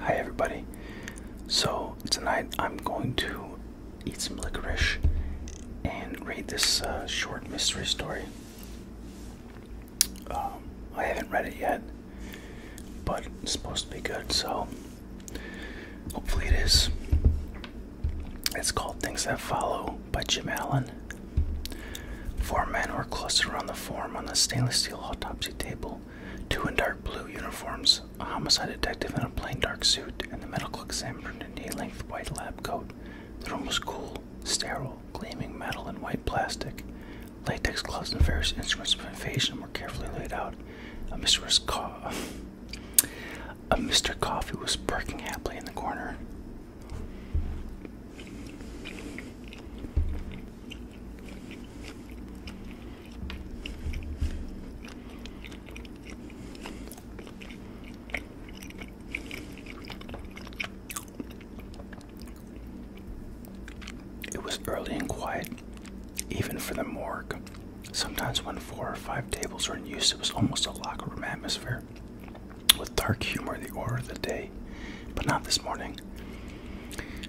Hi everybody. So tonight I'm going to eat some licorice and read this uh, short mystery story. Um, I haven't read it yet, but it's supposed to be good, so hopefully it is. It's called Things That Follow by Jim Allen. Four men are clustered around the form on the stainless steel autopsy table Two in dark blue uniforms, a homicide detective in a plain dark suit, and the medical examiner in a knee-length white lab coat. The room was cool, sterile, gleaming metal and white plastic. Latex gloves and various instruments of invasion were carefully laid out. A Mr. Coffee was perking happily in the corner. It was early and quiet, even for the morgue. Sometimes, when four or five tables were in use, it was almost a locker room atmosphere. With dark humor, the order of the day, but not this morning.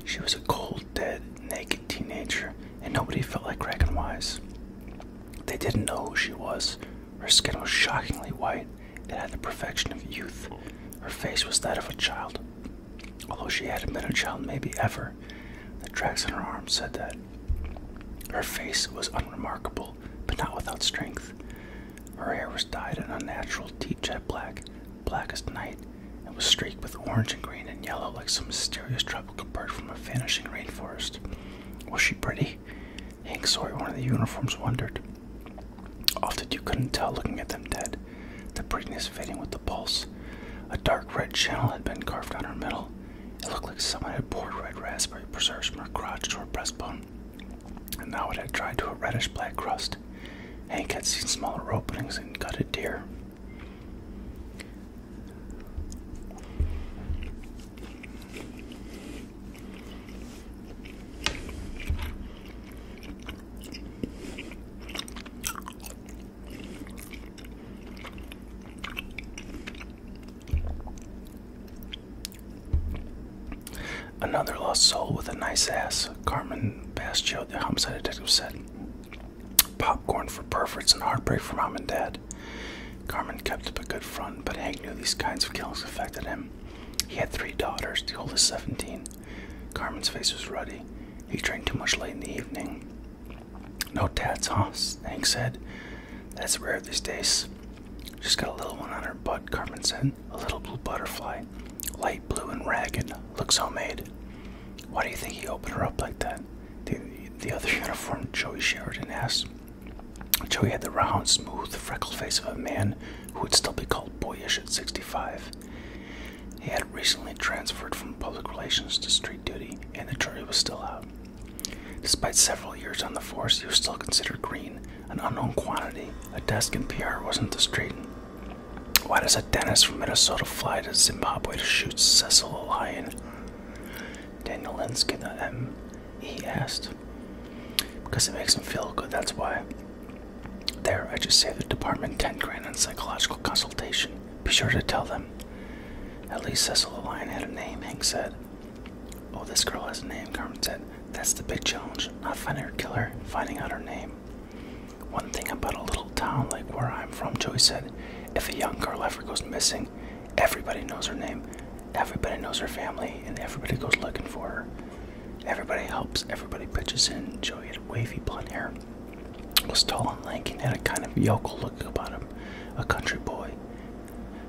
She was a cold, dead, naked teenager, and nobody felt like Kraken Wise. They didn't know who she was. Her skin was shockingly white and had the perfection of youth. Her face was that of a child. Although she hadn't been a child maybe ever, the tracks on her arms said that. Her face was unremarkable, but not without strength. Her hair was dyed an unnatural deep jet black, Black as night and was streaked with orange and green and yellow like some mysterious tropical bird from a vanishing rainforest. Was she pretty? Hank Sawyer, one of the uniforms, wondered. Often you couldn't tell looking at them dead, the prettiness fading with the pulse. A dark red channel had been carved down her middle. It looked like someone had poured red raspberry preserves from her crotch to her breastbone, and now it had dried to a reddish black crust. Hank had seen smaller openings and gutted deer. Another lost soul with a nice ass, Carmen Bastio, the homicide detective said. Popcorn for perverts and heartbreak for mom and dad. Carmen kept up a good front, but Hank knew these kinds of killings affected him. He had three daughters, the oldest 17. Carmen's face was ruddy. He drank too much late in the evening. No tats, huh? Hank said. That's rare these days. She's got a little one on her butt, Carmen said. A little blue butterfly. Light blue and ragged. Looks homemade. Why do you think he opened her up like that? The, the other uniformed Joey Sheridan asked. Joey had the round, smooth, freckled face of a man who would still be called boyish at 65. He had recently transferred from public relations to street duty, and the jury was still out. Despite several years on the force, he was still considered green, an unknown quantity. A desk in PR wasn't the straight why does a dentist from Minnesota fly to Zimbabwe to shoot Cecil a lion? Daniel Linsky, the M, he asked. Because it makes him feel good, that's why. There, I just saved the department 10 grand on psychological consultation. Be sure to tell them. At least Cecil the Lion had a name, Hank said. Oh, this girl has a name, Carmen said. That's the big challenge. Not finding her killer, finding out her name. One thing about a little town like where I'm from, Joey said, if a young girl ever goes missing, everybody knows her name, everybody knows her family, and everybody goes looking for her. Everybody helps, everybody pitches in. Joey had wavy blonde hair, was tall and lanky, and had a kind of yokel look about him, a country boy.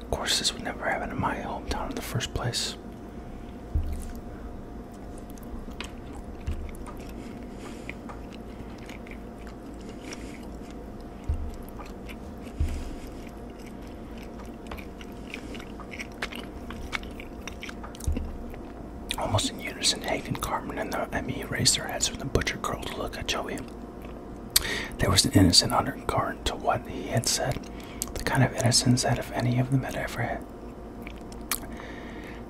Of course, this would never happen in my hometown in the first place. Almost in unison, Hank Carmen and the me raised their heads from the butcher girl to look at Joey. There was an innocent undercurrent to what he had said, the kind of innocence that if any of them had ever had,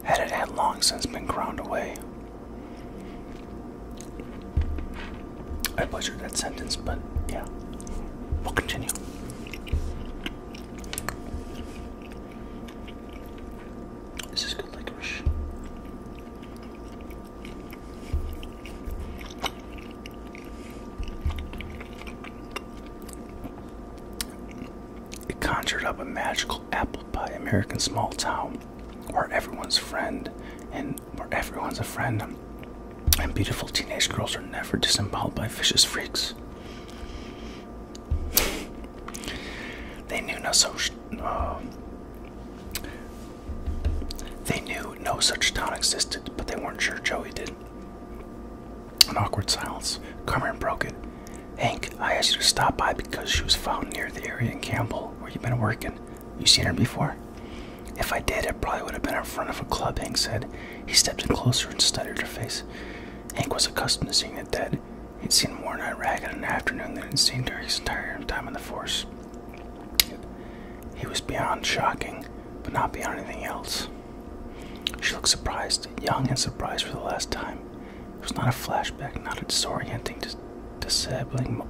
had it had long since been ground away. I butchered that sentence, but yeah, we'll continue. This is good licorice. It conjured up a magical typical apple American small town where everyone's friend and where everyone's a friend and beautiful teenage girls are never disemboweled by vicious freaks. They knew no such uh, they knew no such town existed, but they weren't sure Joey did. An awkward silence. Carmen broke it. Hank, I asked you to stop by because she was found near the area in Campbell where you've been working. You seen her before? If I did, it probably would have been in front of a club, Hank said. He stepped in closer and studied her face. Hank was accustomed to seeing it dead. He'd seen more in Iraq in an afternoon than he'd seen during his entire time in the force. He was beyond shocking, but not beyond anything else. She looked surprised, young and surprised for the last time. It was not a flashback, not a disorienting, disabling,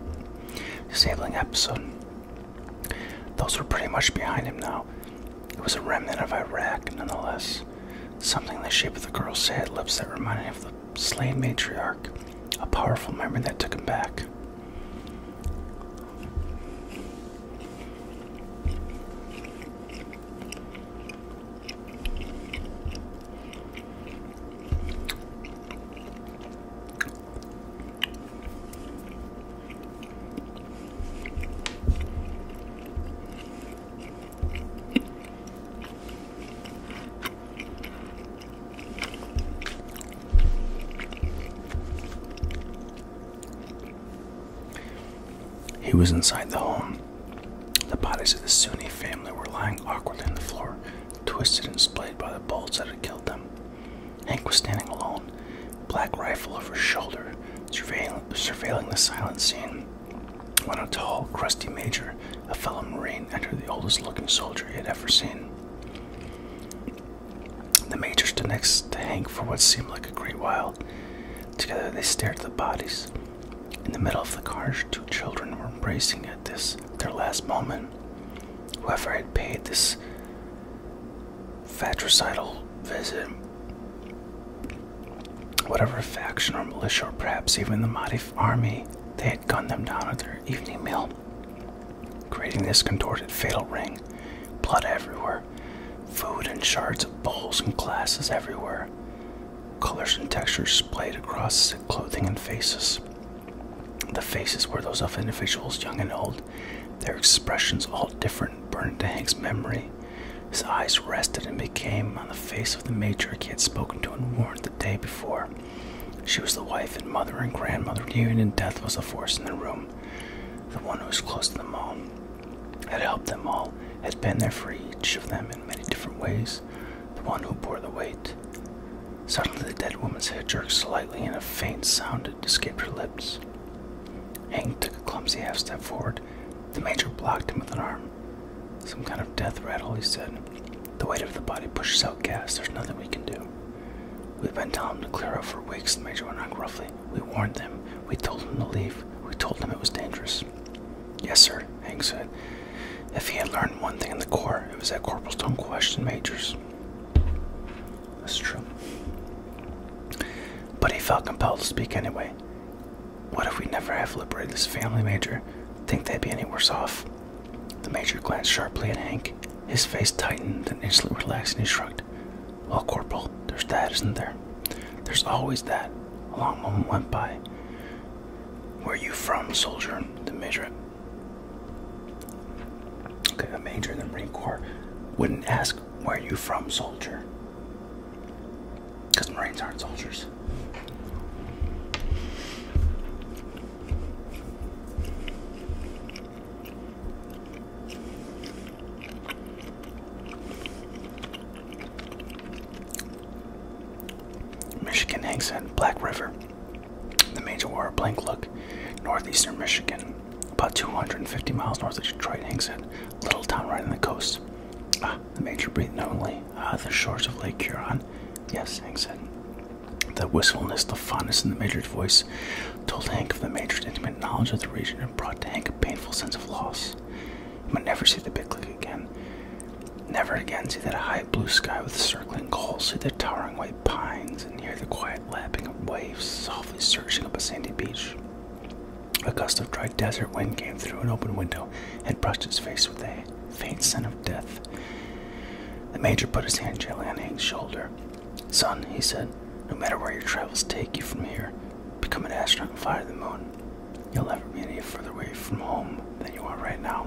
disabling episode. Those were pretty much behind him now. It was a remnant of Iraq, nonetheless. Something the shape of the girl's sad lips that reminded him of the slain matriarch. A powerful memory that took him back. He was inside the home the bodies of the Sunni family were lying awkwardly on the floor, twisted and splayed by the bullets that had killed them. Hank was standing alone, black rifle over his shoulder, surveilling, the silent scene. When a tall, crusty major, a fellow Marine, entered the oldest looking soldier he had ever seen. The major stood next to Hank for what seemed like a great while. Together they stared at the bodies. In the middle of the car, two children were embracing at this their last moment. Whoever had paid this fratricidal visit, whatever faction or militia, or perhaps even the Madif army, they had gunned them down at their evening meal, creating this contorted fatal ring. Blood everywhere, food and shards of bowls and glasses everywhere colors and textures splayed across clothing and faces. The faces were those of individuals young and old, their expressions all different, burned into Hank's memory. His eyes rested and became on the face of the major he had spoken to and warned the day before. She was the wife and mother and grandmother. Union and death was a force in the room. The one who was close to them all, had helped them all, had been there for each of them in many different ways. The one who bore the weight Suddenly, the dead woman's head jerked slightly, and a faint sound escaped her lips. Hank took a clumsy half step forward. The major blocked him with an arm. Some kind of death rattle, he said. The weight of the body pushes out gas. There's nothing we can do. We've been telling them to clear out for weeks, the major went on gruffly. We warned them. We told them to leave. We told them it was dangerous. Yes, sir, Hank said. If he had learned one thing in the Corps, it was that corporals don't question majors. That's true. But he felt compelled to speak anyway. What if we never have liberated this family, Major? Think they'd be any worse off? The Major glanced sharply at Hank. His face tightened, then instantly relaxed, and he shrugged. Well, Corporal, there's that, isn't there? There's always that. A long moment went by. Where are you from, soldier? The major. Okay, a major in the Marine Corps wouldn't ask where are you from, soldier. Because Marines aren't soldiers. Michigan Hank said. Black River. The major wore a blank look. Northeastern Michigan, about 250 miles north of Detroit, Hank said. Little town right on the coast. Ah, the major breathed knowingly. Ah, the shores of Lake Huron. Yes, Hank said. The wistfulness, the fondness in the major's voice told Hank of the major's intimate knowledge of the region and brought to Hank a painful sense of loss. He might never see the big lake again. Never again see that high blue sky with circling clouds, see the towering white pines, and hear the quiet lapping of waves softly surging up a sandy beach. A gust of dry desert wind came through an open window and brushed his face with a faint scent of death. The major put his hand gently on Hank's shoulder. Son, he said, no matter where your travels take you from here, become an astronaut and fly to the moon. You'll never be any further away from home than you are right now.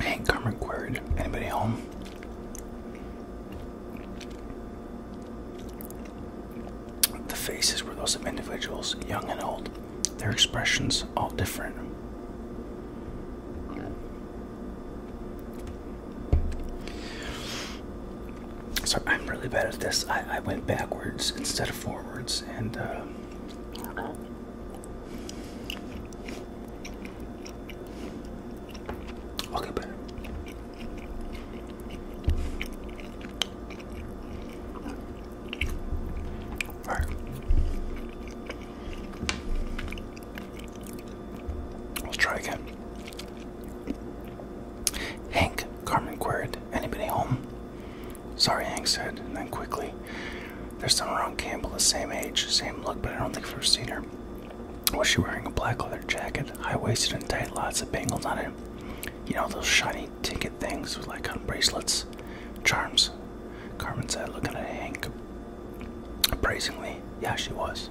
Hank Carmen queried, anybody home? The faces were those of individuals, young and old, their expressions all different. Sorry, I'm really bad at this. I, I went backwards instead of forwards, and uh, Okay, better. All right. Let's try again. Hank, Carmen queried, anybody home? Sorry, Hank said, and then quickly, there's someone around Campbell the same age, same look, but I don't think I've ever seen her. Was she wearing a black leather jacket, high waisted and tight, lots of bangles on it? You know, those shiny ticket things with like on bracelets? Charms, Carmen said, looking at Hank. Appraisingly, yeah, she was.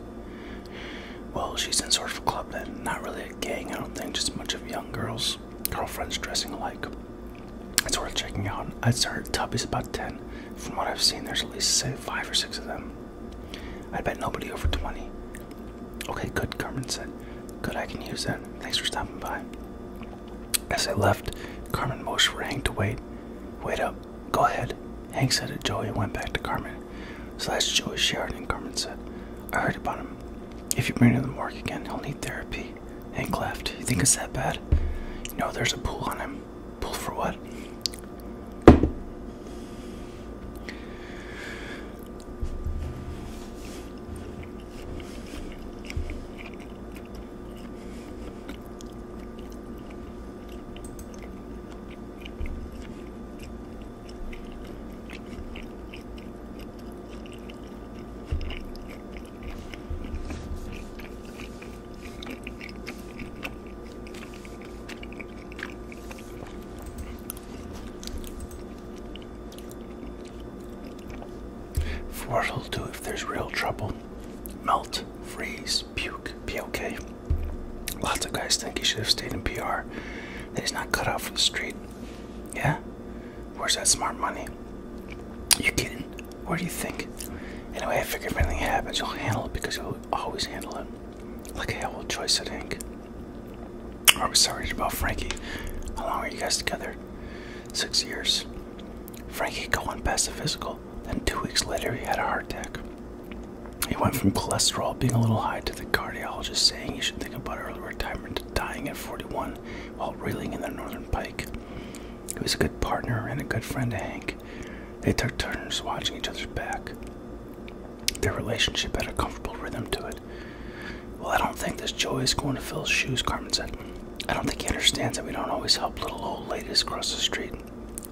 Well, she's in sort of a club then, not really a gang, I don't think, just a bunch of young girls, girlfriends dressing alike. It's worth checking out. I would started Tubby's about 10, from what I've seen, there's at least say five or six of them. I bet nobody over 20. Okay, good, Carmen said. Good, I can use that. Thanks for stopping by. As I left, Carmen motioned for Hank to wait. Wait up. Go ahead. Hank said it. Joey went back to Carmen. So that's Joey Sheridan, Carmen said. I heard about him. If you bring him to the morgue again, he'll need therapy. Hank laughed. You think it's that bad? No, there's a pool on him. Pull for what? what it'll do if there's real trouble melt, freeze, puke, be okay. Lots of guys think he should have stayed in PR, he's not cut out for the street. Yeah? Where's that smart money? You kidding? What do you think? Anyway, I figure if anything happens, you'll handle it because you'll always handle it. Like hell old choice, I think. I was sorry about Frankie. How long are you guys together? Six years. Frankie got one past the physical, then two weeks later he had a heart attack. He went from cholesterol being a little high to the cardiologist saying he should think about early retirement dying at 41 while reeling in the Northern Pike. He was a good partner and a good friend to Hank. They took turns watching each other's back. Their relationship had a comfortable rhythm to it. Well, I don't think this joy is going to fill his shoes, Carmen said. I don't think he understands that we don't always help little old ladies cross the street.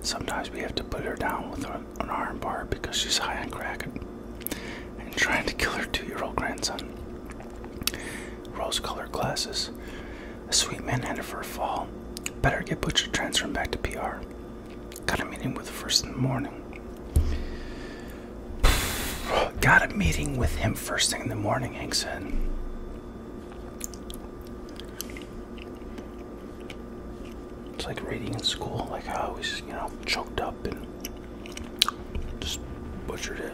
Sometimes we have to put her down with an, an iron bar because she's high on crack and trying to kill her two year old grandson. Rose colored glasses. A sweet man manhanded for a fall. Better get Butcher transferred back to PR. Got a meeting with the first in the morning. Got a meeting with him first thing in the morning, Hank It's like reading in school, like I was, you know, choked up and just butchered it.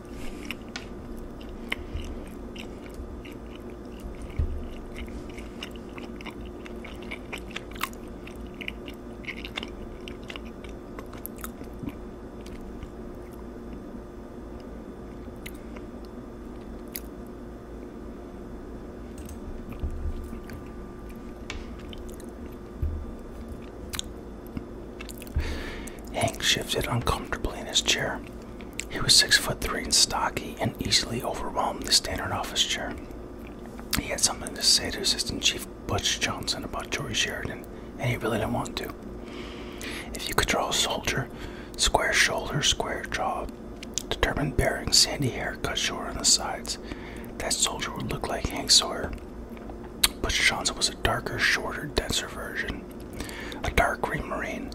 Hank shifted uncomfortably in his chair, he was six foot three and stocky and easily overwhelmed the standard office chair. He had something to say to Assistant Chief Butch Johnson about George Sheridan, and he really didn't want to. If you could draw a soldier, square shoulders, square jaw, determined bearing, sandy hair cut short on the sides, that soldier would look like Hank Sawyer. Butch Johnson was a darker, shorter, denser version. A dark green marine,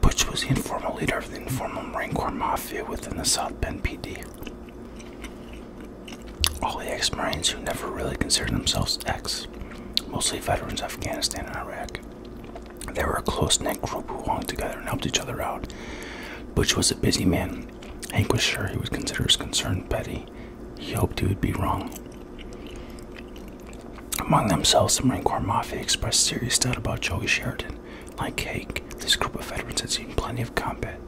Butch was the informal leader of the informal Marine Corps Mafia within the South Bend PD. All the ex Marines who never really considered themselves ex, mostly veterans of Afghanistan and Iraq. They were a close knit group who hung together and helped each other out. Butch was a busy man Hank was sure he would consider his concern petty. He hoped he would be wrong. Among themselves, the Marine Corps Mafia expressed serious doubt about Joey Sheridan. Like Hank, this group of veterans had seen plenty of combat.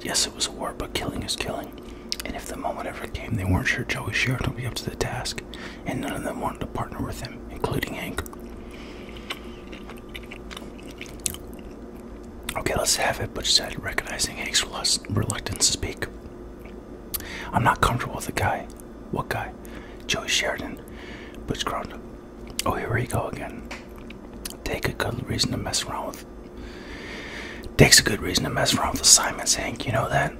Yes, it was a war, but killing is killing. And if the moment ever came, they weren't sure Joey Sheridan would be up to the task, and none of them wanted to partner with him, including Hank. Okay, let's have it, Butch said, recognizing Hank's reluctance to speak. I'm not comfortable with the guy. What guy? Joey Sheridan. Butch groaned. Oh, here we go again. Take a good reason to mess around with. Takes a good reason to mess around with assignments, Hank. You know that?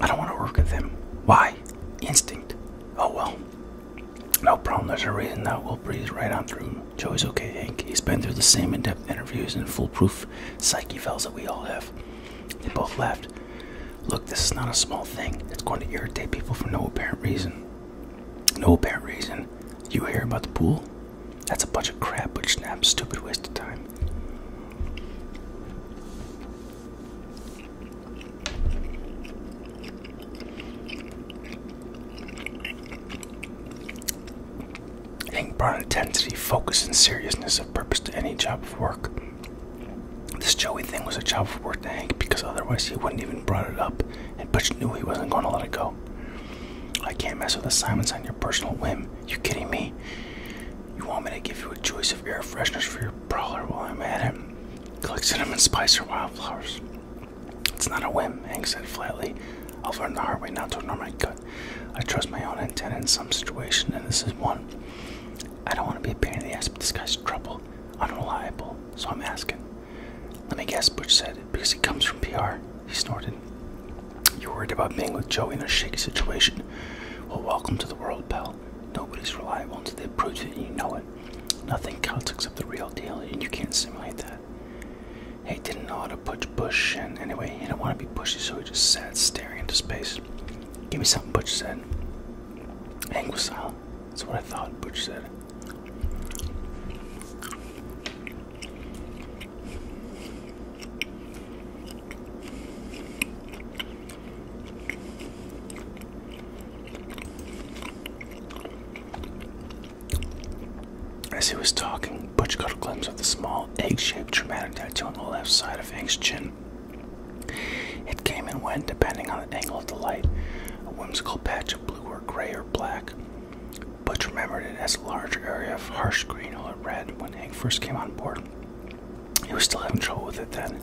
I don't want to work with him. Why? Instinct. Oh well. No problem. There's a reason that we'll breeze right on through. Joe's okay, Hank. He's been through the same in depth interviews and foolproof psyche fells that we all have. They both laughed. Look, this is not a small thing. It's going to irritate people for no apparent reason. No apparent reason. You hear about the pool? That's a bunch of crap, which snaps, stupid waste of time. Hank brought intensity, focus, and seriousness of purpose to any job of work. This Joey thing was a job of work to Hank because otherwise he wouldn't even brought it up, and Butch knew he wasn't going to let it go. I can't mess with assignments on your personal whim. You kidding me? You want me to give you a choice of air fresheners for your brawler while I'm at it? Click cinnamon spice or wildflowers. It's not a whim, Hank said flatly. I've learned the hard way not to ignore my gut. I trust my own antenna in some situations, and this is one. I don't want to be a pain in the ass, but this guy's trouble, unreliable, so I'm asking. Let me guess, Butch said, because he comes from PR. He snorted. You're worried about being with Joe in a shaky situation. Well, welcome to the world, pal. Nobody's reliable until they prove it, and you know it. Nothing counts except the real deal, and you can't simulate that. He didn't know how to push, Bush, and anyway, he didn't want to be pushy, so he just sat staring into space. Give me something, Butch said. Hank was That's what I thought, Butch said. As he was talking, Butch got a glimpse of the small, egg shaped dramatic tattoo on the left side of Hank's chin. It came and went depending on the angle of the light, a whimsical patch of blue or gray or black. Butch remembered it as a large area of harsh green or red when Hank first came on board. He was still having trouble with it then.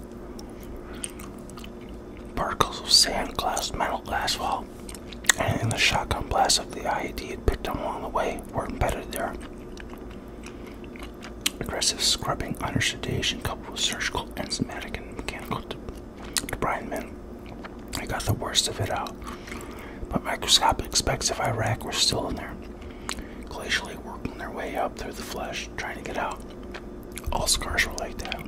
Particles of sand, glass, metal, glass asphalt, and in the shotgun blasts of the IED it picked them along the way were embedded there. Aggressive scrubbing under sedation coupled with surgical, enzymatic, and mechanical debridement. I got the worst of it out, but microscopic specks of Iraq were still in there, glacially working their way up through the flesh, trying to get out. All scars were like that.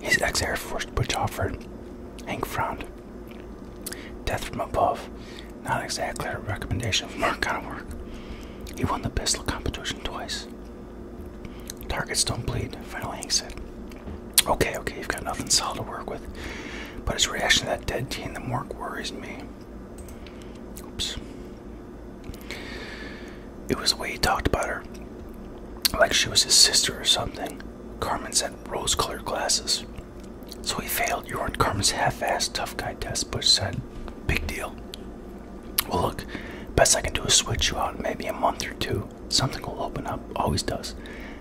His ex Air Force Butch offered. Hank frowned. Death from above. Not exactly a recommendation for our kind of work. He won the pistol competition twice. Targets don't bleed, finally Hank said. Okay, okay, you've got nothing solid to work with. But his reaction to that dead teen, the morgue worries me. Oops. It was the way he talked about her, like she was his sister or something. Carmen's had rose colored glasses. So he failed. You weren't Carmen's half assed tough guy test, Bush said. Big deal. Well, look, best I can do is switch you out in maybe a month or two. Something will open up, always does.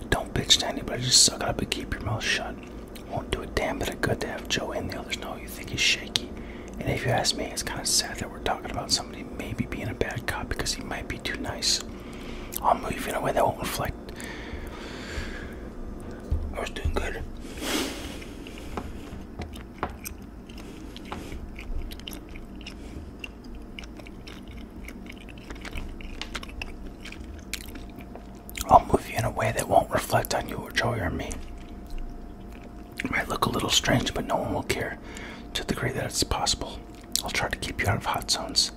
Don't bitch to anybody, just suck it up and keep your mouth shut. Won't do a damn bit of good to have Joe and The others know you think he's shaky. And if you ask me, it's kind of sad that we're talking about somebody maybe being a bad cop because he might be too nice. I'll move in a way that won't reflect. I was doing good. I'll move you in a way that won't reflect on you or Joey or me. It might look a little strange, but no one will care to the degree that it's possible. I'll try to keep you out of hot zones.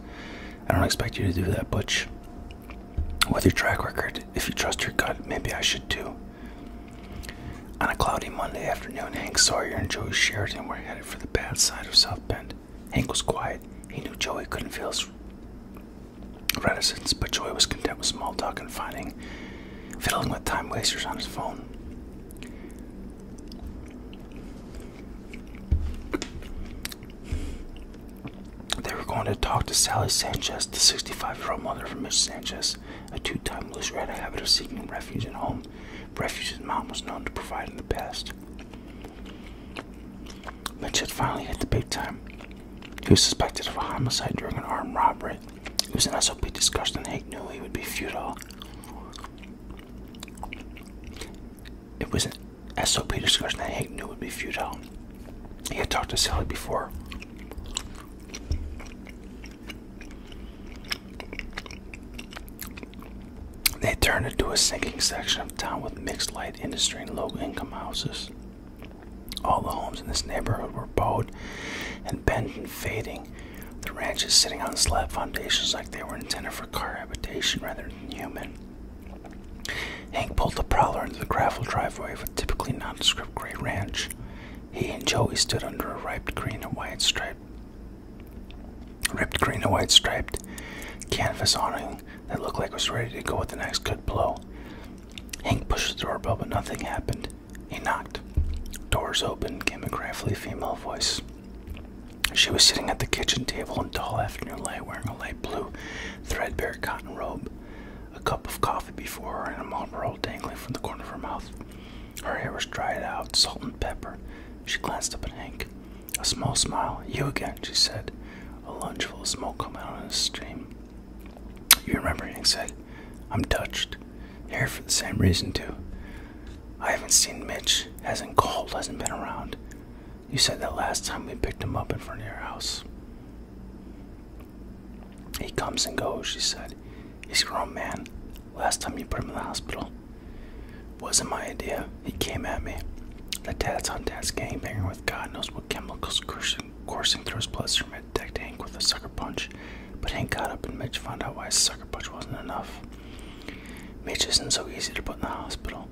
I don't expect you to do that, Butch. With your track record, if you trust your gut, maybe I should too. On a cloudy Monday afternoon, Hank Sawyer and Joey Sheridan were headed for the bad side of South Bend. Hank was quiet. He knew Joey couldn't feel his reticence, but Joey was content with small talk and fighting fiddling with time wasters on his phone. They were going to talk to Sally Sanchez, the 65 year old mother of Mitch Sanchez, a two time loser had a habit of seeking refuge in home, refuge his mom was known to provide in the past. Mitch had finally hit the big time. He was suspected of a homicide during an armed robbery it was an SOP discussion, Hank knew it would be futile. It was an SOP discussion that Hank knew would be futile. He had talked to Sally before. They turned into a sinking section of town with mixed light industry and low income houses. All the homes in this neighborhood were bowed and bent and fading, the ranch is sitting on slab foundations like they were intended for car habitation rather than human. Hank pulled the prowler into the gravel driveway of a typically nondescript gray ranch. He and Joey stood under a ripe green and white striped, ripped green and white striped canvas awning that looked like it was ready to go with the next good blow. Hank pushed the doorbell, but nothing happened. He knocked. Doors opened, came a gravelly female voice. She was sitting at the kitchen table in dull afternoon light, wearing a light blue, threadbare cotton robe, a cup of coffee before her, and a roll dangling from the corner of her mouth. Her hair was dried out, salt and pepper. She glanced up at Hank. A small smile. You again, she said. A lunge of smoke coming out of the stream. You remember, Hank said. I'm touched. Here for the same reason, too. I haven't seen Mitch, hasn't called, hasn't been around. You said that last time we picked him up in front of your house. He comes and goes, she said. He's your own man. Last time you put him in the hospital. Wasn't my idea. He came at me. That dad's on dad's game, gangbanger with God knows what chemicals coursing, coursing through his bloodstream had decked Hank with a sucker punch but Hank got up and Mitch found out why his sucker punch wasn't enough. Mitch isn't so easy to put in the hospital.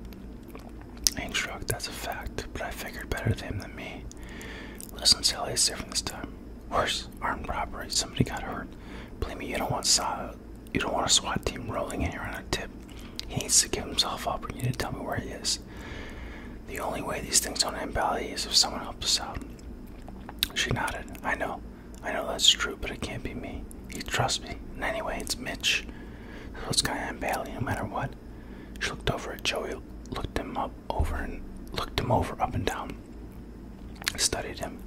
Hank struck that's a fact, but I figured better than him than me. Listen, Sally, it's different this time. Worse, armed robbery, somebody got hurt. Blame me, you don't want you don't want a SWAT team rolling in here on a tip. He needs to give himself up or you need to tell me where he is. The only way these things don't end badly is if someone helps us out. She nodded. I know. I know that's true, but it can't be me. He trusts me. And anyway, it's Mitch. This guy I'm Bailey no matter what. She looked over at Joey, looked him up over and looked him over up and down. Studied him.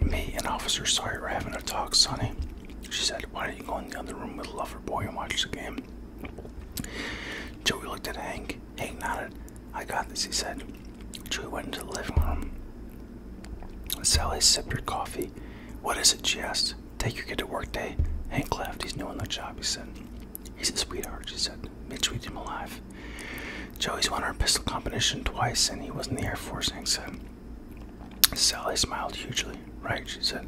Me and Officer Sawyer were having a talk, Sonny. She said, Why don't you go in the other room with Lover Boy and watch the game? Joey looked at Hank. Hank nodded. I got this, he said. Drew went into the living room. Sally sipped her coffee. What is it? she asked. Take your kid to work day. Hank left. He's new on the job, he said. He's a sweetheart, she said. Mitch, we him alive. Joey's won our pistol competition twice, and he was in the Air Force, Hank said. Sally smiled hugely. Right, she said.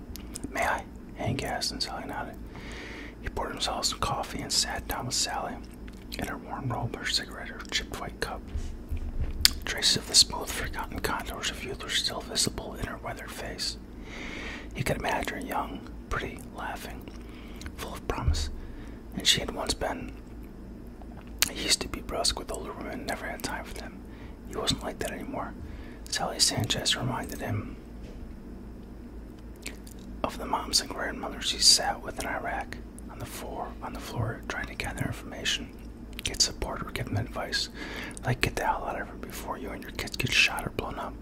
May I? Hank asked, and Sally nodded. He poured himself some coffee and sat down with Sally in her warm robe, her cigarette, her chipped white cup. Traces of the smooth, forgotten contours of youth were still visible in her weathered face. He could imagine her young, pretty, laughing, full of promise, and she had once been. He used to be brusque with older women, never had time for them. He wasn't like that anymore. Sally Sanchez reminded him of the moms and grandmothers he sat with in Iraq on the floor on the floor trying to gather information, get support or get advice. Like get the hell out of here before you and your kids get shot or blown up.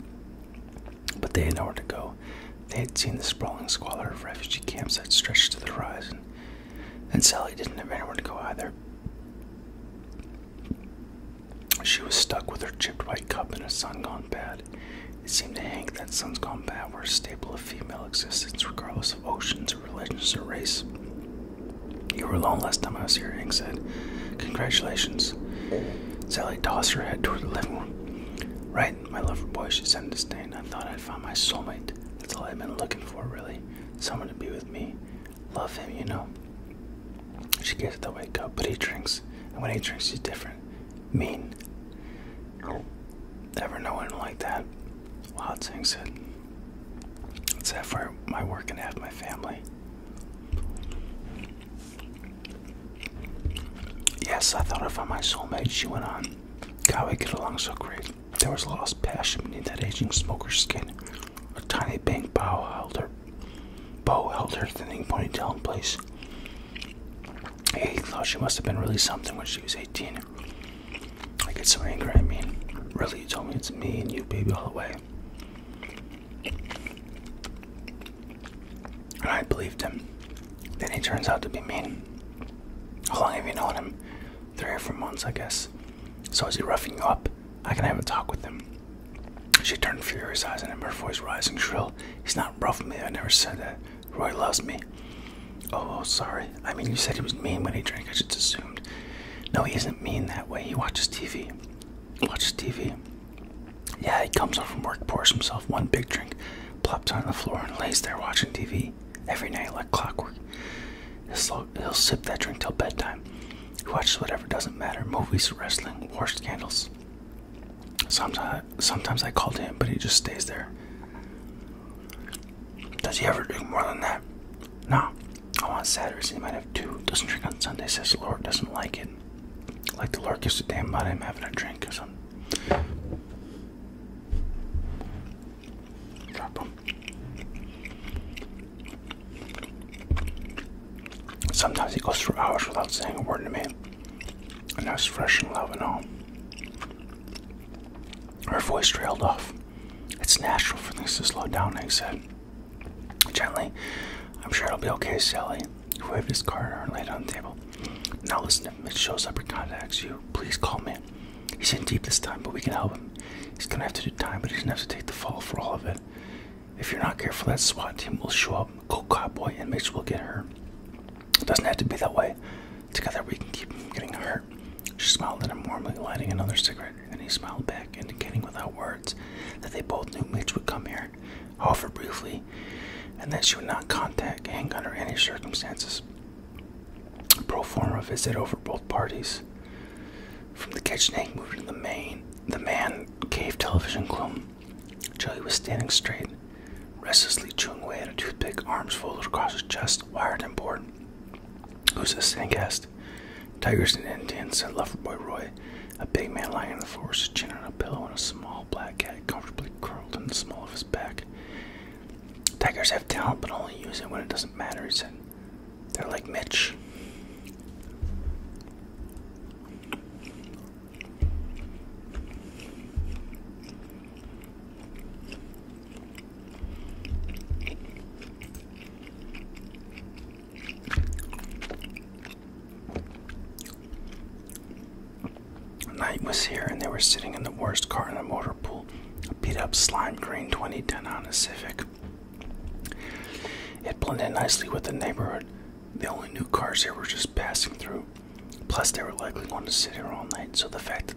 But they had nowhere to go. They had seen the sprawling squalor of refugee camps that stretched to the horizon. And Sally didn't have anywhere to go either. She was stuck with her chipped white cup and a sun gone it seemed to Hank that Sun's Gone Bad were a staple of female existence, regardless of oceans or religions or race. You were alone last time I was here, Hank said. Congratulations. Sally tossed her head toward the living room. Right, my lover boy, she said in disdain. I thought I'd found my soulmate. That's all I've been looking for, really. Someone to be with me. Love him, you know. She it the wake up, but he drinks. And when he drinks, he's different. Mean. Never know anyone like that. Wild Sing said. It's half for my work and half my family. Yes, I thought I found my soulmate, she went on. God, we get along so great. There was lost passion beneath that aging smoker's skin. A tiny pink bow held her, bow held her thinning ponytail in place. He thought she must have been really something when she was 18. I get so angry at me. Really, you told me it's me and you, baby, all the way. And I believed him. Then he turns out to be mean. How long have you known him? Three or four months, I guess. So is he roughing you up? I can have a talk with him. She turned furious eyes on him, her voice rising shrill. He's not roughing me, I never said that. Roy loves me. Oh, oh, sorry. I mean, you said he was mean when he drank. I just assumed. No, he isn't mean that way. He watches TV. watches TV. Yeah, he comes home from work, pours himself one big drink, plops on the floor, and lays there watching TV every night like clockwork. He'll, sip that drink till bedtime. He watches whatever doesn't matter movies, wrestling, worst scandals. Sometimes, sometimes I call to him, but he just stays there. Does he ever drink more than that? No. on Saturdays he might have two. Doesn't drink on Sunday, says the Lord. Doesn't like it. Like the Lord gives a damn about him having a drink or something. Drop him. Sometimes he goes through hours without saying a word to me. And I was fresh and love and all. Her voice trailed off. It's natural for things to slow down, he said. Gently, I'm sure it'll be okay, Sally. He waved his card and laid it on the table. Now listen, if Mitch shows up and contacts you, please call me. He's in deep this time, but we can help him. He's gonna have to do time, but he's gonna have to take the fall for all of it. If you're not careful, that SWAT team will show up. Go cowboy, and Mitch will get hurt. It doesn't have to be that way. Together we can keep from getting hurt. She smiled at him warmly, lighting another cigarette, and he smiled back, indicating without words that they both knew Mitch would come here, offer briefly, and that she would not contact Hank under any circumstances. A Pro forma visit over both parties. From the kitchen, Hank moved into the main, the man cave television gloom. Joey was standing straight, Restlessly chewing away at a toothpick, arms folded across his chest, wired and bored. Who's this thing guest? Tigers and Indians, and said boy Roy. A big man lying in the floor, his chin on a pillow, and a small black cat comfortably curled in the small of his back. Tigers have talent, but only use it when it doesn't matter, he said. They're like Mitch. Night was here, and they were sitting in the worst car in the motor pool, a beat up slime green 2010 Honda Civic. It blended nicely with the neighborhood. The only new cars here were just passing through. Plus, they were likely going to sit here all night, so the fact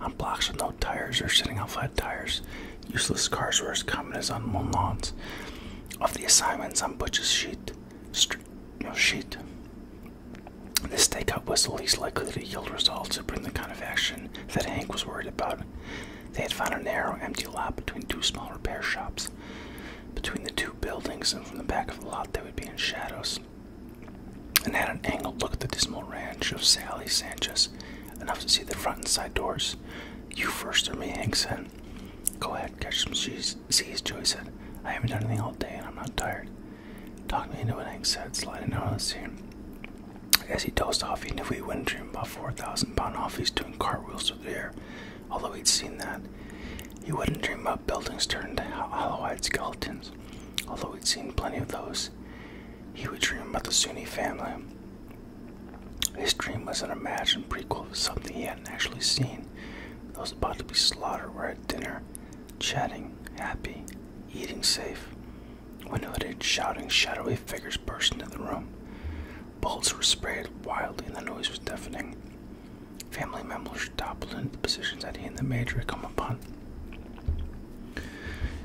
on blocks with no tires or sitting on flat tires, useless cars were as common as on unmown lawns. Of the assignments on Butch's sheet, no sheet, this stakeout was the least likely to yield results or bring the kind of action that Hank was worried about. They had found a narrow, empty lot between two small repair shops. Between the two buildings and from the back of the lot, they would be in shadows and had an angled look at the dismal ranch of Sally Sanchez, enough to see the front and side doors. You first or me, Hank said. Go ahead, catch some cheese, Seas, Joey said. I haven't done anything all day and I'm not tired. Talk me into it, Hank said, sliding out of the scene. As he dozed off, he knew he wouldn't dream about 4,000 pound offies doing cartwheels through the air, although he'd seen that. He wouldn't dream about buildings turned into hollow eyed skeletons. Although he'd seen plenty of those, he would dream about the Sunni family. His dream was an imagined prequel of something he hadn't actually seen. Those about to be slaughtered were at dinner, chatting, happy, eating safe. When hooded, shouting, shadowy figures burst into the room. Bullets were sprayed wildly, and the noise was deafening. Family members toppled into positions that he and the Major come upon.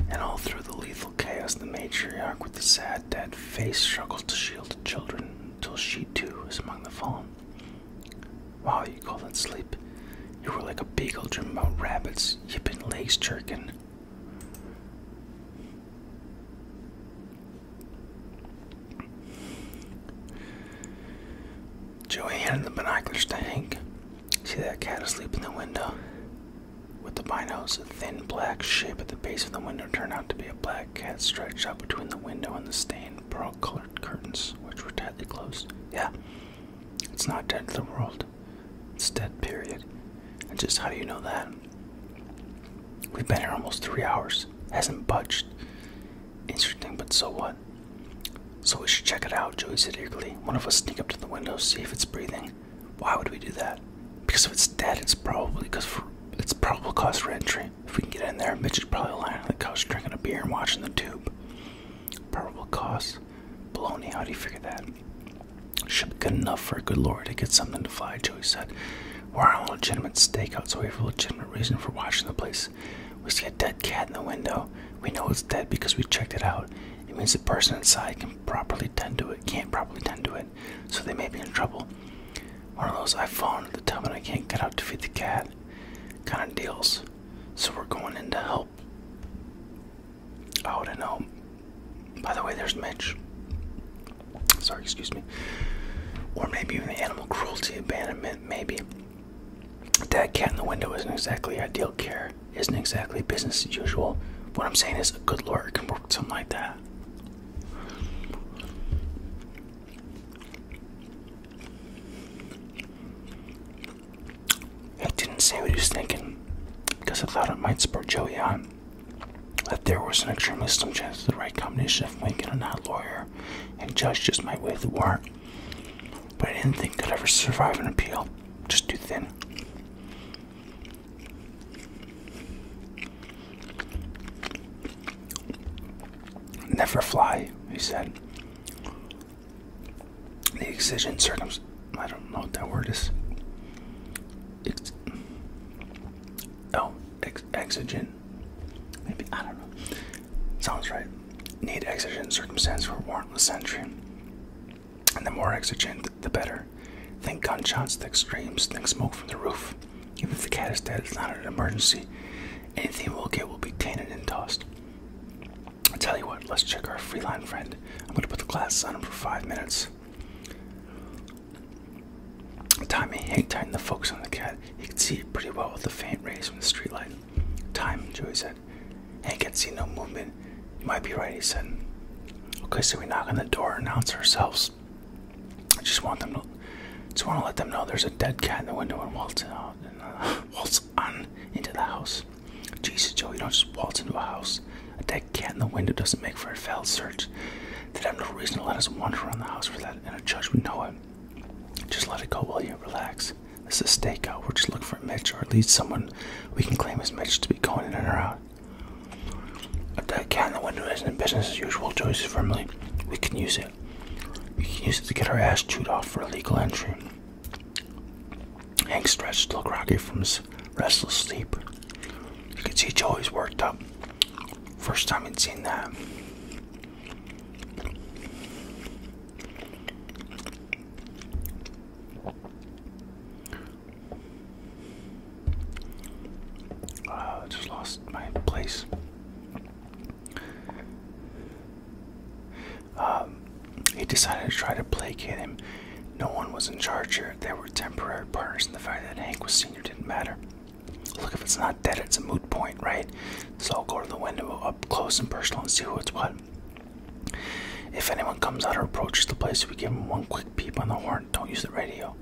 And all through the lethal chaos, the matriarch with the sad, dead face struggles to shield the children until she too is among the fallen. Why you call that sleep? You were like a beagle dreaming about rabbits, yipping legs jerking. Joey handed the binoculars to Hank. See that cat asleep in the window? With the binos, a thin black shape at the base of the window turned out to be a black cat stretched out between the window and the stained pearl colored curtains, which were tightly closed. Yeah, it's not dead to the world. It's dead, period. And just how do you know that? We've been here almost three hours. Hasn't budged. Interesting, but so what? so we should check it out, Joey said eagerly. One of us sneak up to the window, see if it's breathing. Why would we do that? Because if it's dead, it's probably because for it's probable cause for entry. If we can get in there, Mitch is probably lying on the couch drinking a beer and watching the tube. Probable cause? Baloney, how do you figure that? Should be good enough for a good lawyer to get something to fly, Joey said. We're on a legitimate stakeout, so we have a legitimate reason for watching the place. We see a dead cat in the window. We know it's dead because we checked it out. It means the person inside can properly tend to it, can't properly tend to it, so they may be in trouble. One of those I fall into the tub and I can't get out to feed the cat kind of deals. So we're going in to help. Oh, I know. By the way, there's Mitch. Sorry, excuse me. Or maybe even the animal cruelty abandonment, maybe. That cat in the window isn't exactly ideal care, isn't exactly business as usual. What I'm saying is, a good lawyer can work something like that. I didn't say what he was thinking because I thought it might spur Joey on. That there was an extremely slim chance the right combination of Lincoln and not lawyer and judge just might waive the warrant. But I didn't think could ever survive an appeal. Just too thin. Never fly, he said. The exigent circumstance. I don't know what that word is. Ex oh, exogen. Maybe, I don't know. Sounds right. Need exigent circumstance for warrantless entry. And the more exigent, the better. Think gunshots, think screams, think smoke from the roof. Even if the cat is dead, it's not an emergency. Anything we'll get will be tainted and tossed. I tell you what, let's check our freeline friend. I'm gonna put the glass on him for five minutes. Tommy hang tight in the focus on the cat. He could see it pretty well with the faint rays from the streetlight. Time, Joey said. Hank hey, had seen no movement. might be right, he said. Okay, so we knock on the door announce ourselves. I just want them to just want to let them know there's a dead cat in the window and waltz out and uh, waltz on into the house. Jesus, Joey, you don't just waltz into a house. A dead cat in the window doesn't make for a failed search. They'd have no reason to let us wander around the house for that, and a judge would know it. Just let it go, will you? Relax. This is a stakeout. We're just looking for Mitch, or at least someone we can claim as Mitch to be going in and out. If that cat in the window isn't in business as usual to his we can use it. We can use it to get our ass chewed off for illegal entry. Hank stretched to look rocky from his restless sleep. You could see Joey's worked up. First time he'd seen that. I uh, just lost my place. Um, he decided to try to placate him. No one was in charge here. They were temporary partners, and the fact that Hank was senior didn't matter. Look, if it's not dead, it's a moot point, right? So I'll go to the window up close and personal and see who it's what. If anyone comes out or approaches the place, we give them one quick peep on the horn. Don't use the radio.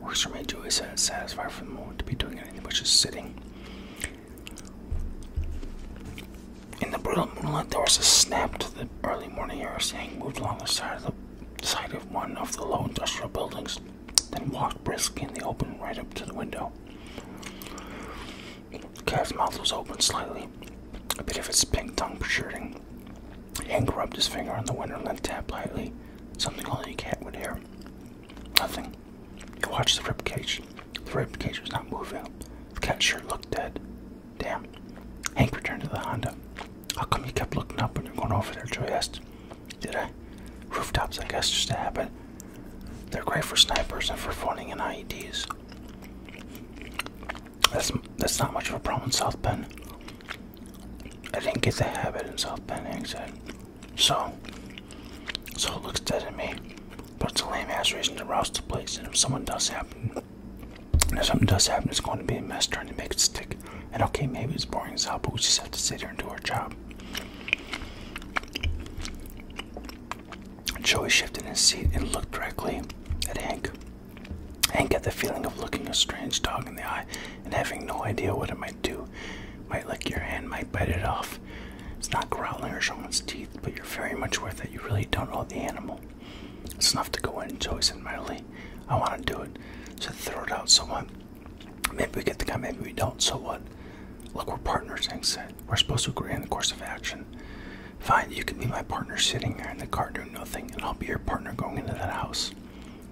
Works for me, Julie uh, said, satisfied for the moment to be doing anything but just sitting. In the brutal moonlight, there was a snap to the early morning air as moved along the side of the side of one of the low industrial buildings, then walked briskly in the open right up to the window. Calf's mouth was open slightly, a bit of its pink tongue protruding. Hank rubbed his finger on the window and then tapped lightly, something only a cat would hear. Nothing. He watched the ribcage. The ribcage was not moving. The cat sure looked dead. Damn. Hank returned to the Honda. How come you kept looking up when you were going over there? Joey asked. Did I? Rooftops, I guess, just to happen. They're great for snipers and for phoning in IEDs. That's that's not much of a problem in South Bend. I didn't get the habit in South Bend, exit. So, so it looks dead to me. But it's a lame ass reason to rouse the place, and if someone does happen, if something does happen, it's going to be a mess trying to make it stick. And okay, maybe it's boring as hell, but we just have to sit here and do our job. Joey shifted his seat and looked directly at Hank. Hank got the feeling of looking a strange dog in the eye and having no idea what it might do. Might lick your hand, might bite it off. It's not growling or showing its teeth, but you're very much aware it. you really don't know the animal. It's enough to go in, Joey said mildly. I want to do it. So throw it out, so what? Maybe we get the guy, maybe we don't, so what? Look, we're partners, Hank said. We're supposed to agree on the course of action. Fine, you can be my partner sitting there in the car doing nothing, and I'll be your partner going into that house.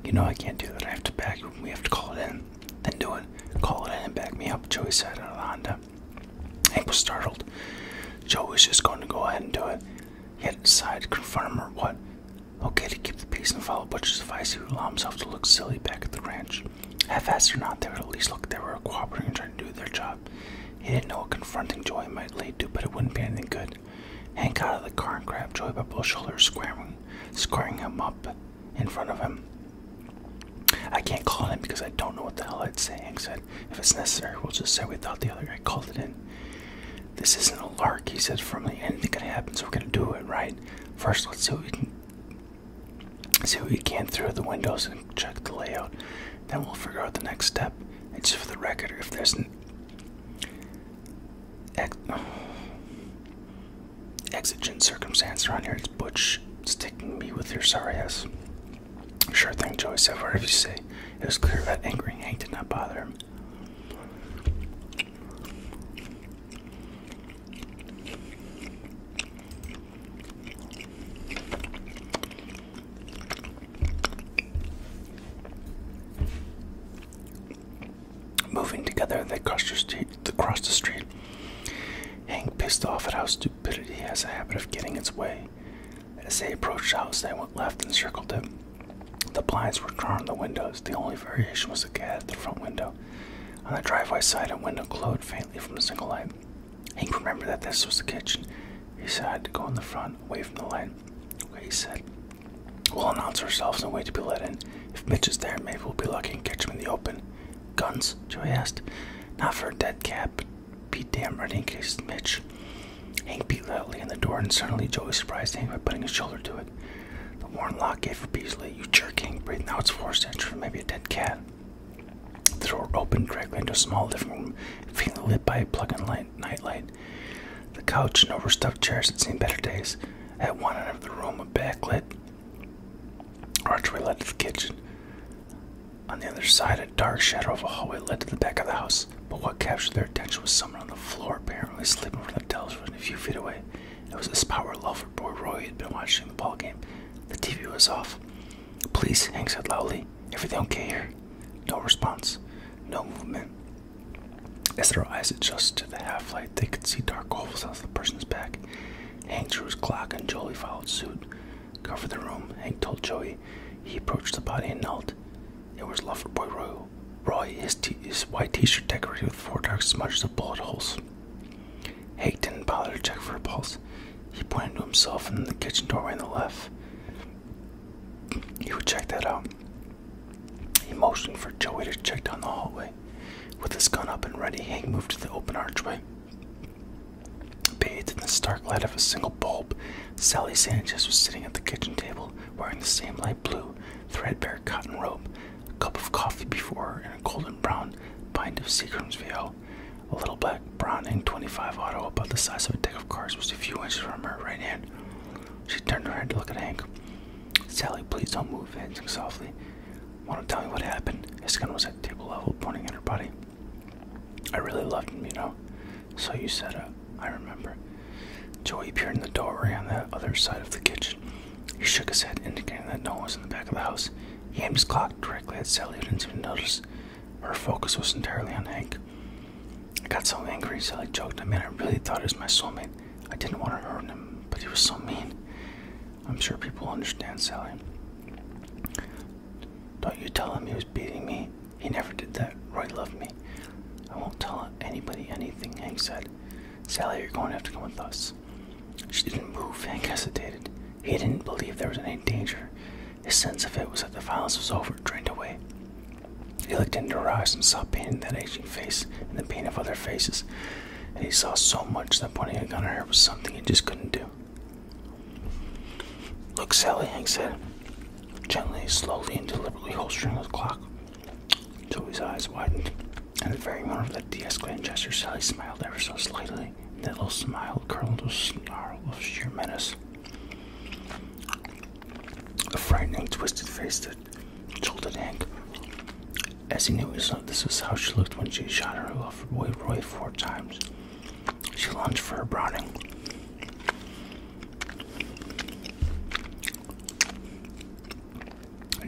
You know I can't do that. I have to back. We have to call it in. Then do it. Call it in and back me up, Joey said out of the Honda. Hank was startled. Joe was just going to go ahead and do it. He hadn't decided to confront him or what. Okay, to keep the peace and follow Butcher's advice, he would allow himself to look silly back at the ranch. Half-assed or not, they would at least look they were cooperating and trying to do their job. He didn't know what confronting Joy might lead to, but it wouldn't be anything good. Hank got out of the car and grabbed Joy by both shoulders, squaring, him up in front of him. I can't call him because I don't know what the hell I'd say, Hank said. If it's necessary, we'll just say we thought the other guy called it in. This isn't a lark, he said firmly. Anything can happen, so we're gonna do it, right? First, let's see what we can see what we can through the windows and check the layout. Then we'll figure out the next step. And just for the record, if there's an exigent circumstance around here, it's Butch sticking me with your sorry ass. Sure thing, Joey said, whatever you say. It was clear that angry Hank did not bother him. Moving together, they crossed the street. Hank, pissed off at how stupidity has a habit of getting its way. As they approached the house, they went left and circled it. The blinds were drawn on the windows. The only variation was a cat at the front window. On the driveway side, a window glowed faintly from a single light. Hank remembered that this was the kitchen. He said I had to go in the front, away from the light. Okay, he said. We'll announce ourselves and wait to be let in. If Mitch is there, maybe we'll be lucky and catch him in the open. Guns? Joey asked. Not for a dead cat, but be damn ready in case it's Mitch. Hank beat loudly on the door, and suddenly Joey surprised Hank by putting his shoulder to it. The worn lock gave for Beasley. You jerk, Hank breathed. Now it's forced entry for maybe a dead cat. The door opened directly into a small living room, faintly lit by a plug-in nightlight. The couch and overstuffed chairs had seen better days. At one end of the room, a backlit archway led to the kitchen. On the other side, a dark shadow of a hallway led to the back of the house. But what captured their attention was someone on the floor, apparently sleeping from the television a few feet away. It was this power lover boy Roy had been watching the ball game. The TV was off. Please, Hank said loudly. Everything okay here? No response. No movement. As their eyes adjusted to the half light, they could see dark holes on the person's back. Hank drew his Glock and Joey followed suit. Cover the room, Hank told Joey. He approached the body and knelt. It was Lover Boy Roy. Roy, his white t shirt decorated with four dark smudges of bullet holes. Hank didn't bother to check for a pulse. He pointed to himself and the kitchen doorway on the left. He would check that out. He motioned for Joey to check down the hallway. With his gun up and ready, Hank moved to the open archway. Bathed in the stark light of a single bulb, Sally Sanchez was sitting at the kitchen table wearing the same light blue, threadbare cotton robe, a cup of coffee before her, and a golden brown bind of Seagram's VO. A little black brown in 25 auto about the size of a deck of cards was a few inches from her right hand. She turned her head to look at Hank. Sally, please don't move, Hank softly. Want to tell me what happened? His gun was at table level, pointing at her body. I really loved him, you know. So you said, uh, I remember. Joey appeared in the doorway on the other side of the kitchen. He shook his head, indicating that no one was in the back of the house. He aimed his clock directly at Sally, who didn't even notice. Her focus was entirely on Hank. I got so angry, Sally joked I mean, I really thought he was my soulmate. I didn't want to hurt him, but he was so mean. I'm sure people understand, Sally. Don't you tell him he was beating me. He never did that. Roy loved me. I won't tell anybody anything, Hank said. Sally, you're going to have to come with us. She didn't move. Hank hesitated. He didn't believe there was any danger. His sense of it was that the violence was over, drained away. He looked into her eyes and saw pain in that aging face and the pain of other faces, and he saw so much that pointing a gun at her was something he just couldn't do. Look, Sally, Hank said, gently, slowly, and deliberately holstering the clock until eyes widened. At the very moment of that de gesture, Sally smiled ever so slightly, and that little smile curled with a snarl of sheer menace. A frightening, twisted face that told jolted Hank. As he knew, his, this was how she looked when she shot her lover boy Roy four times. She lunged for her Browning.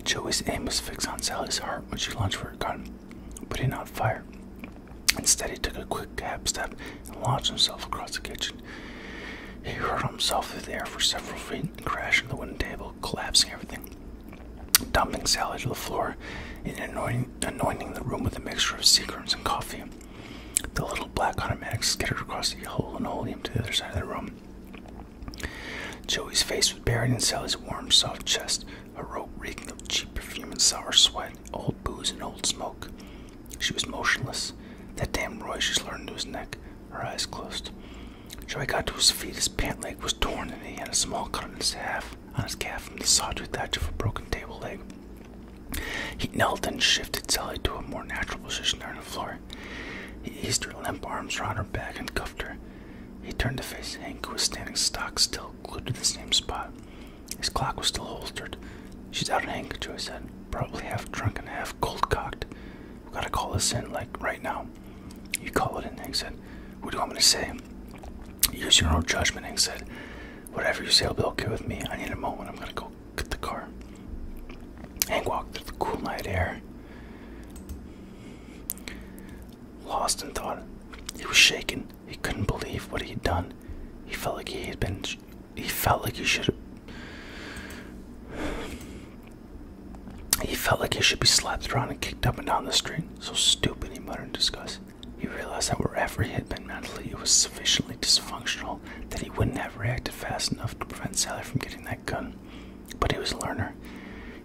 Joey's aim was fixed on Sally's heart when she lunged for her gun, but did not fire. Instead, he took a quick cab step and launched himself across the kitchen. He hurled himself through the air for several feet and crashed into the wooden table, collapsing everything, dumping Sally to the floor and anointing, the room with a mixture of sea creams and coffee. The little black automatic skittered across the hole and holding him to the other side of the room. Joey's face was buried in Sally's warm, soft chest, a robe reeking of cheap perfume and sour sweat, old booze and old smoke. She was motionless. That damned Roy, she slurred to his neck, her eyes closed. Joey got to his feet. His pant leg was torn, and he had a small cut on his calf, on his calf from the sawtooth edge of a broken table leg. He knelt and shifted Sally to a more natural position on the floor. He eased her limp arms around her back and cuffed her. He turned to face Hank, who was standing stock still, glued to the same spot. His clock was still holstered. She's out in handkerchief, I said. Probably half drunk and half cold cocked. We gotta call this in, like right now. He called it in, Hank said. What do i want me to say? Use your own judgment, Hank said. Whatever you say will be okay with me. I need a moment. I'm gonna go get the car. Hank walked through the cool night air. Lost in thought. He was shaken. He couldn't believe what he'd done. He felt like he had been he felt like he should. He felt like he should be slapped around and kicked up and down the street. So stupid, he muttered in disgust. He realized that wherever he had been mentally, it was sufficiently dysfunctional that he wouldn't have reacted fast enough to prevent Sally from getting that gun. But he was a learner.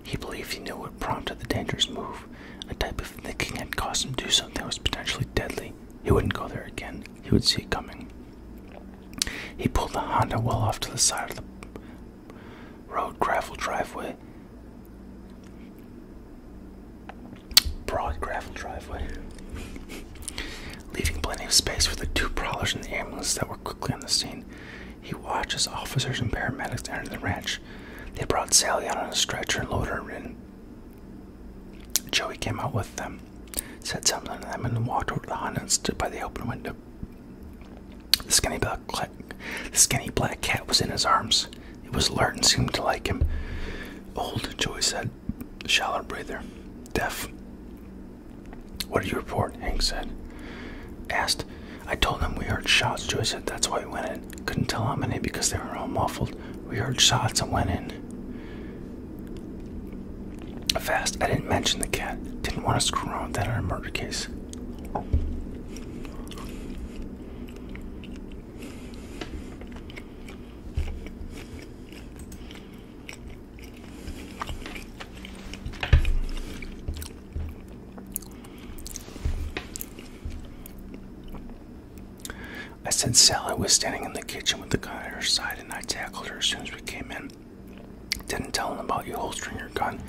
He believed he knew what prompted the dangerous move. A type of thinking had caused him to do something that was potentially deadly, he wouldn't go there again. He would see it coming. He pulled the Honda well off to the side of the road gravel driveway. Broad gravel driveway. Leaving plenty of space for the two prowlers and the ambulance that were quickly on the scene. He watched as officers and paramedics entered the ranch. They brought Sally out on a stretcher and loaded her in Joey came out with them, said something to them, and walked over to the Honda and stood by the open window. The skinny black cat, the skinny black cat was in his arms. It was alert and seemed to like him. Old, Joey said, shallow breather, deaf. What did you report? Hank said. Asked. I told him we heard shots. Joey said that's why we went in. Couldn't tell how many because they were all muffled. We heard shots and went in. Fast, I didn't mention the cat. Didn't want to screw around that on a murder case. I said Sally was standing in the kitchen with the gun at her side, and I tackled her as soon as we came in. Didn't tell him about you holstering your gun.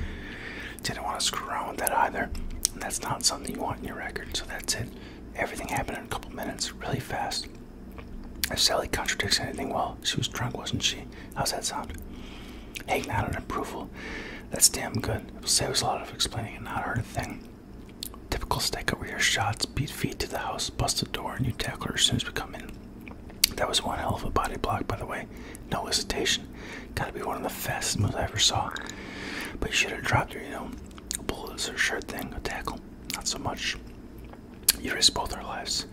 Didn't want to screw around with that either. that's not something you want in your record, so that's it. Everything happened in a couple minutes, really fast. If Sally contradicts anything, well, she was drunk, wasn't she? How's that sound? Hank nodded approval. That's damn good. It'll save us a lot of explaining and not hurt a thing. Typical stack We hear shots, beat feet to the house, bust the door, and you tackle her as soon as we come in. That was one hell of a body block, by the way. No hesitation. Gotta be one of the fastest moves I ever saw. But you should have dropped her, you know. A bullet is sure thing, a tackle. Not so much. You risk both our lives.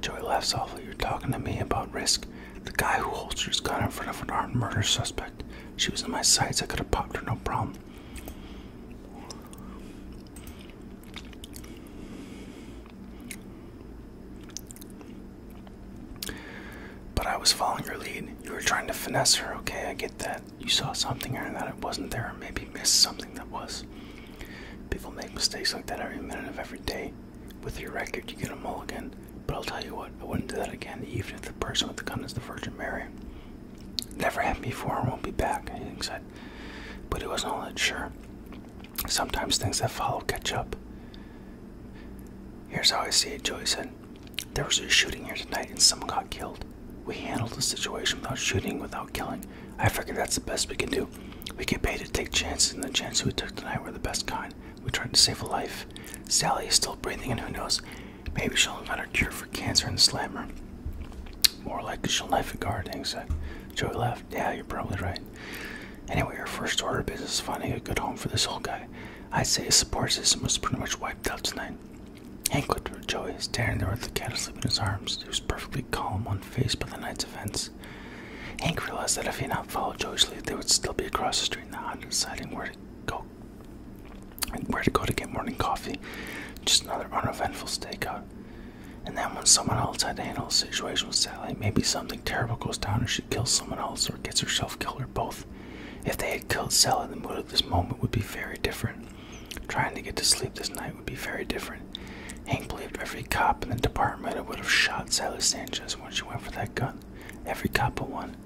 Joey laughs awfully. You're talking to me about risk. The guy who holds his gun in front of an armed murder suspect. She was in my sights. I could have popped her, no problem. But I was following your lead. You were trying to finesse her, okay? I get that. You saw something and her that it wasn't there, or maybe missed something that was. People make mistakes like that every minute of every day. With your record, you get a mulligan. But I'll tell you what, I wouldn't do that again, even if the person with the gun is the Virgin Mary. Never happened before, won't be back. He said, but he wasn't all that sure. Sometimes things that follow catch up. Here's how I see it, Joey said. There was a shooting here tonight and someone got killed. We handled the situation without shooting, without killing. I figure that's the best we can do. We get paid to take chances, and the chances we took tonight were the best kind. We tried to save a life. Sally is still breathing, and who knows? Maybe she'll invent a cure for for cancer and slammer. More like a will knife a guard, things like Joey left. Yeah, you're probably right. Anyway, our first order of business is finding a good home for this old guy. I'd say his support system was pretty much wiped out tonight. Hank looked at Joey, staring there at the cat asleep in his arms. He was perfectly calm, unfazed by the night's events. Hank realized that if he had not followed Joey's lead, they would still be across the street now, deciding where to go where to go to get morning coffee. Just another uneventful stakeout. And then when someone else had to handle the situation with Sally, maybe something terrible goes down and she kills someone else or gets herself killed or both. If they had killed Sally, the mood of this moment would be very different. Trying to get to sleep this night would be very different. Hank believed every cop in the department would have shot Sally Sanchez when she went for that gun. Every cop but one.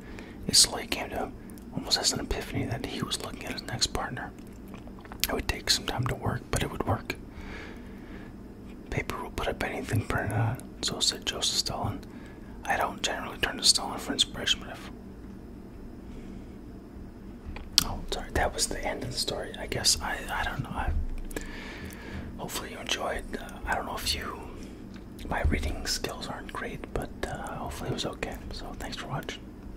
It slowly came to almost as an epiphany, that he was looking at his next partner. It would take some time to work, but it would work. Paper will put up anything printed on, uh, so said Joseph Stalin. I don't generally turn to Stalin for inspiration, but if. Oh, sorry, that was the end of the story. I guess I, I don't know. I, hopefully, you enjoyed. Uh, I don't know if you. My reading skills aren't great, but uh, hopefully, it was okay. So, thanks for watching.